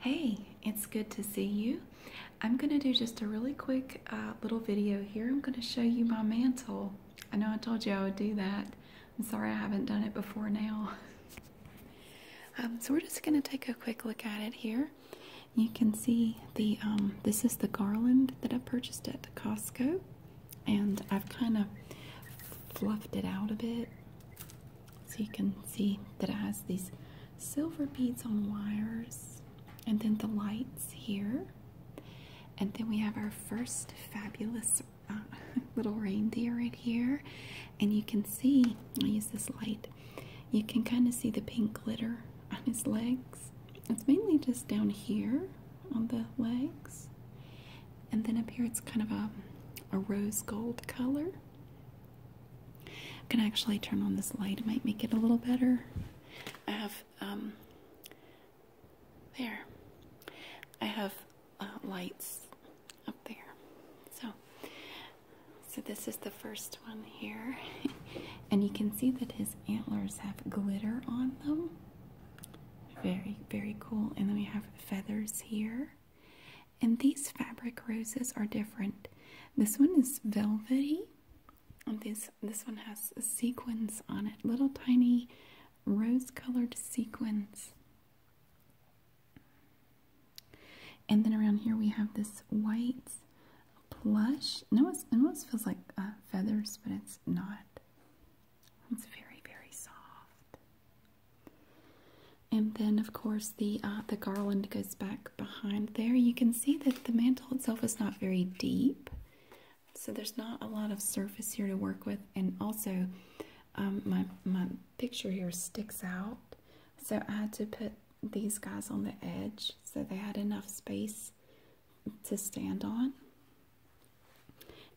Hey, it's good to see you. I'm going to do just a really quick uh, little video here. I'm going to show you my mantle. I know I told you I would do that. I'm sorry I haven't done it before now. Um, so we're just going to take a quick look at it here. You can see the um, this is the garland that I purchased at Costco. And I've kind of fluffed it out a bit so you can see that it has these silver beads on wires, and then the lights here. And then we have our first fabulous uh, little reindeer right here. And you can see, i use this light, you can kind of see the pink glitter on his legs. It's mainly just down here on the legs. And then up here, it's kind of a, a rose gold color. I can actually turn on this light. It might make it a little better. I have, um, there. I have uh, lights up there. So, so this is the first one here. and you can see that his antlers have glitter on them. Very, very cool. And then we have feathers here. And these fabric roses are different. This one is velvety. And this this one has sequins on it, little tiny rose-colored sequins. And then around here we have this white plush. No, it almost feels like uh, feathers, but it's not. It's very, very soft. And then, of course, the uh, the garland goes back behind there. You can see that the mantle itself is not very deep, so there's not a lot of surface here to work with. And also, um, my my picture here sticks out, so I had to put these guys on the edge so they had enough space to stand on.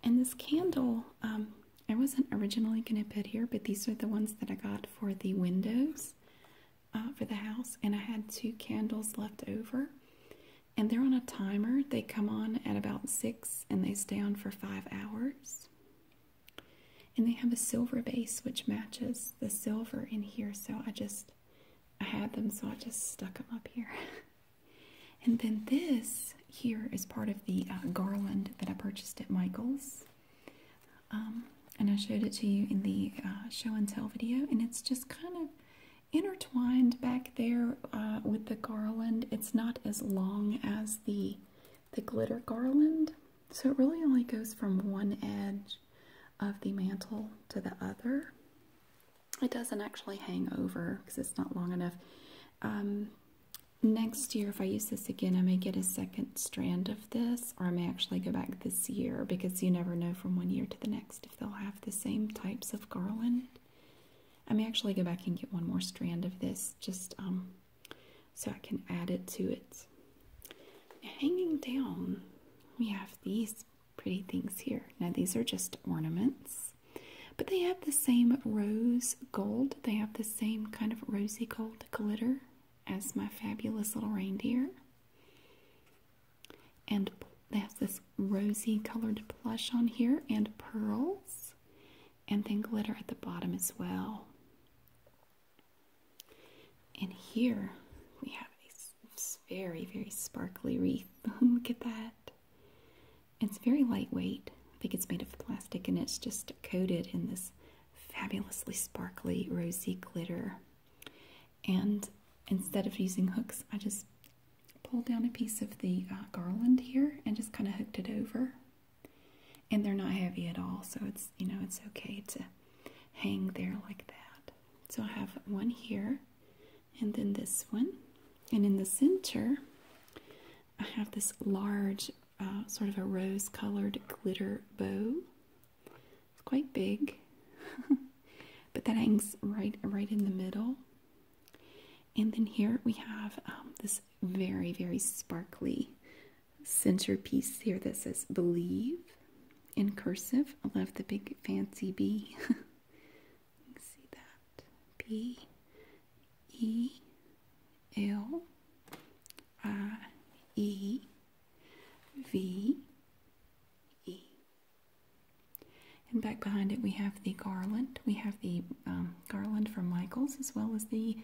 And this candle um, I wasn't originally going to put here, but these are the ones that I got for the windows uh, for the house. And I had two candles left over. And they're on a timer. They come on at about 6 and they stay on for 5 hours. And they have a silver base which matches the silver in here. So I just, I had them so I just stuck them up here. and then this here is part of the uh, garland that I purchased at Michael's. Um, and I showed it to you in the uh, show and tell video, and it's just kind of intertwined back there uh, with the garland. It's not as long as the the glitter garland, so it really only goes from one edge of the mantle to the other. It doesn't actually hang over because it's not long enough. Um, next year if I use this again I may get a second strand of this or I may actually go back this year because you never know from one year to the next if they'll have the same types of garland. I may actually go back and get one more strand of this just um, so I can add it to it. hanging down we have these pretty things here. Now these are just ornaments but they have the same rose gold. They have the same kind of rosy gold glitter as my fabulous little reindeer. And they have this rosy colored plush on here, and pearls, and then glitter at the bottom as well. And here we have a very, very sparkly wreath. Look at that. It's very lightweight. I think it's made of plastic and it's just coated in this fabulously sparkly rosy glitter. And instead of using hooks, I just pulled down a piece of the uh, garland here and just kind of hooked it over. And they're not heavy at all, so it's, you know, it's okay to hang there like that. So I have one here and then this one. And in the center, I have this large uh, sort of a rose colored glitter bow. It's quite big, but that hangs right, right in the middle. And then here we have um, this very, very sparkly centerpiece here that says believe in cursive. I love the big fancy B. see that. B E L R E V E. And back behind it, we have the garland. We have the um, garland from Michaels as well as the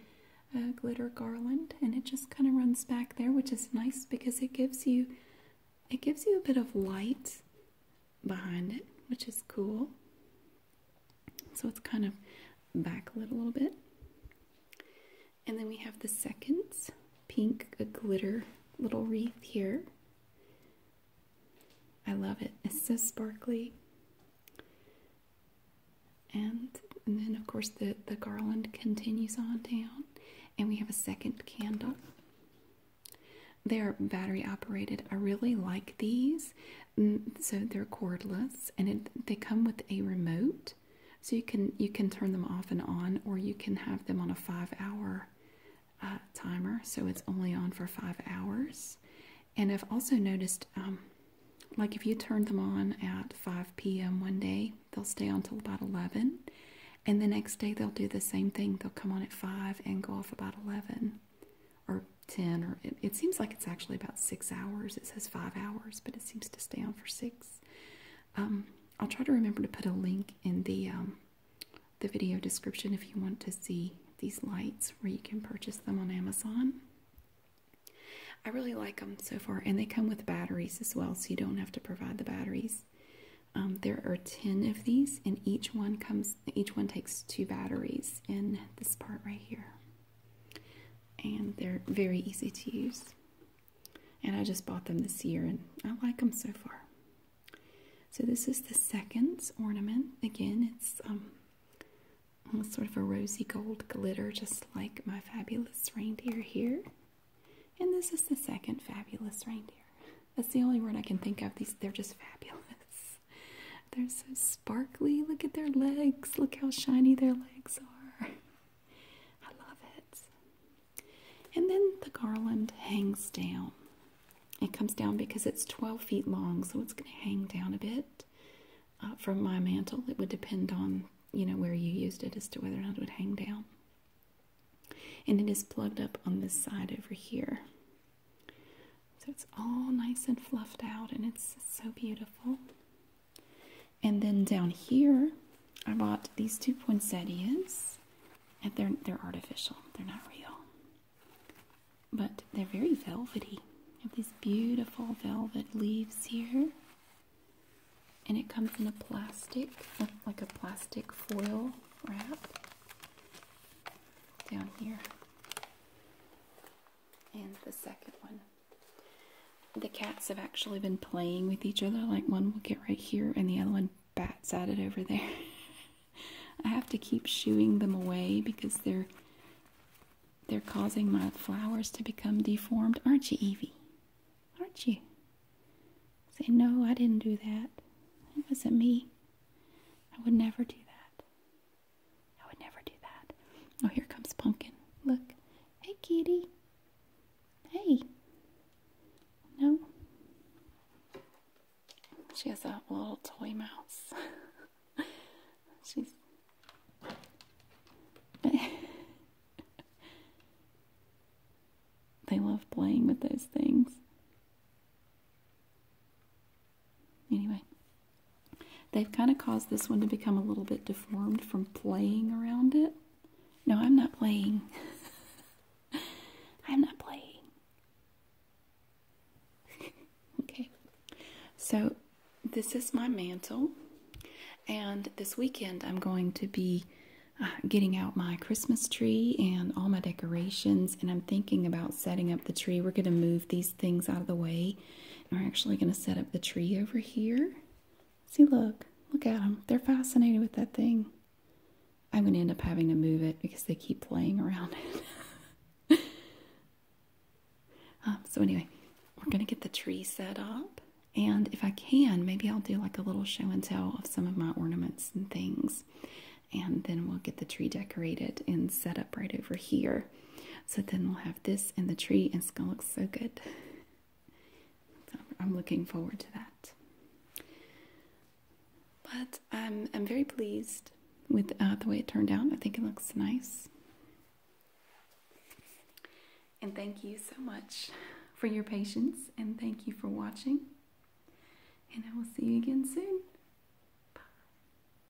uh, glitter garland, and it just kind of runs back there, which is nice because it gives you it gives you a bit of light behind it, which is cool. So it's kind of backlit a little bit. And then we have the second pink glitter little wreath here. I love it. It's so sparkly. And, and then, of course, the, the garland continues on down. And we have a second candle. They're battery operated. I really like these Mm, so they're cordless and they come with a remote so you can you can turn them off and on or you can have them on a five hour uh, timer so it's only on for five hours and i've also noticed um, like if you turn them on at 5 p.m one day they'll stay on till about 11 and the next day they'll do the same thing they'll come on at 5 and go off about 11 or 10 or it, seems like it's actually about six hours it says five hours but it seems to stay on for six um, i'll try to remember to put a link in the um, the video description if you want to see these lights where you can purchase them on amazon i really like them so far and they come with batteries as well so you don't have to provide the batteries um, there are 10 of these and each one comes each one takes two batteries in this part right here and they're very easy to use. And I just bought them this year and I like them so far. So this is the second ornament. Again, it's um sort of a rosy gold glitter just like my fabulous reindeer here. And this is the second fabulous reindeer. That's the only word I can think of. These they're just fabulous. They're so sparkly. Look at their legs. Look how shiny their legs are. I love it. And then the garland hangs down. It comes down because it's 12 feet long, so it's going to hang down a bit uh, from my mantle. It would depend on, you know, where you used it as to whether or not it would hang down. And it is plugged up on this side over here. So it's all nice and fluffed out and it's so beautiful. And then down here, I bought these two poinsettias. And they're, they're artificial, they're not real. But they're very velvety. have these beautiful velvet leaves here. And it comes in a plastic, like a plastic foil wrap down here and the second one. The cats have actually been playing with each other, like one will get right here and the other one bats at it over there. I have to keep shooing them away because they're they're causing my flowers to become deformed. Aren't you, Evie? Aren't you? Say, no, I didn't do that. It wasn't me. I would never do that. I would never do that. Oh, here comes Pumpkin. Look. Hey, kitty. Hey. No. She has a little toy mouse. She's. they love playing with those things. Anyway, they've kind of caused this one to become a little bit deformed from playing around it. No, I'm not playing. I'm not playing. okay, so this is my mantle, and this weekend I'm going to be uh, getting out my Christmas tree and all my decorations, and I'm thinking about setting up the tree. We're going to move these things out of the way and we're actually going to set up the tree over here. See, look, look at them. They're fascinated with that thing. I'm going to end up having to move it because they keep playing around it. Um, so, anyway, we're going to get the tree set up. And if I can, maybe I'll do like a little show and tell of some of my ornaments and things. And then we'll get the tree decorated and set up right over here. So then we'll have this in the tree, and it's gonna look so good. I'm looking forward to that. But I'm um, I'm very pleased with uh, the way it turned out. I think it looks nice. And thank you so much for your patience, and thank you for watching. And I will see you again soon.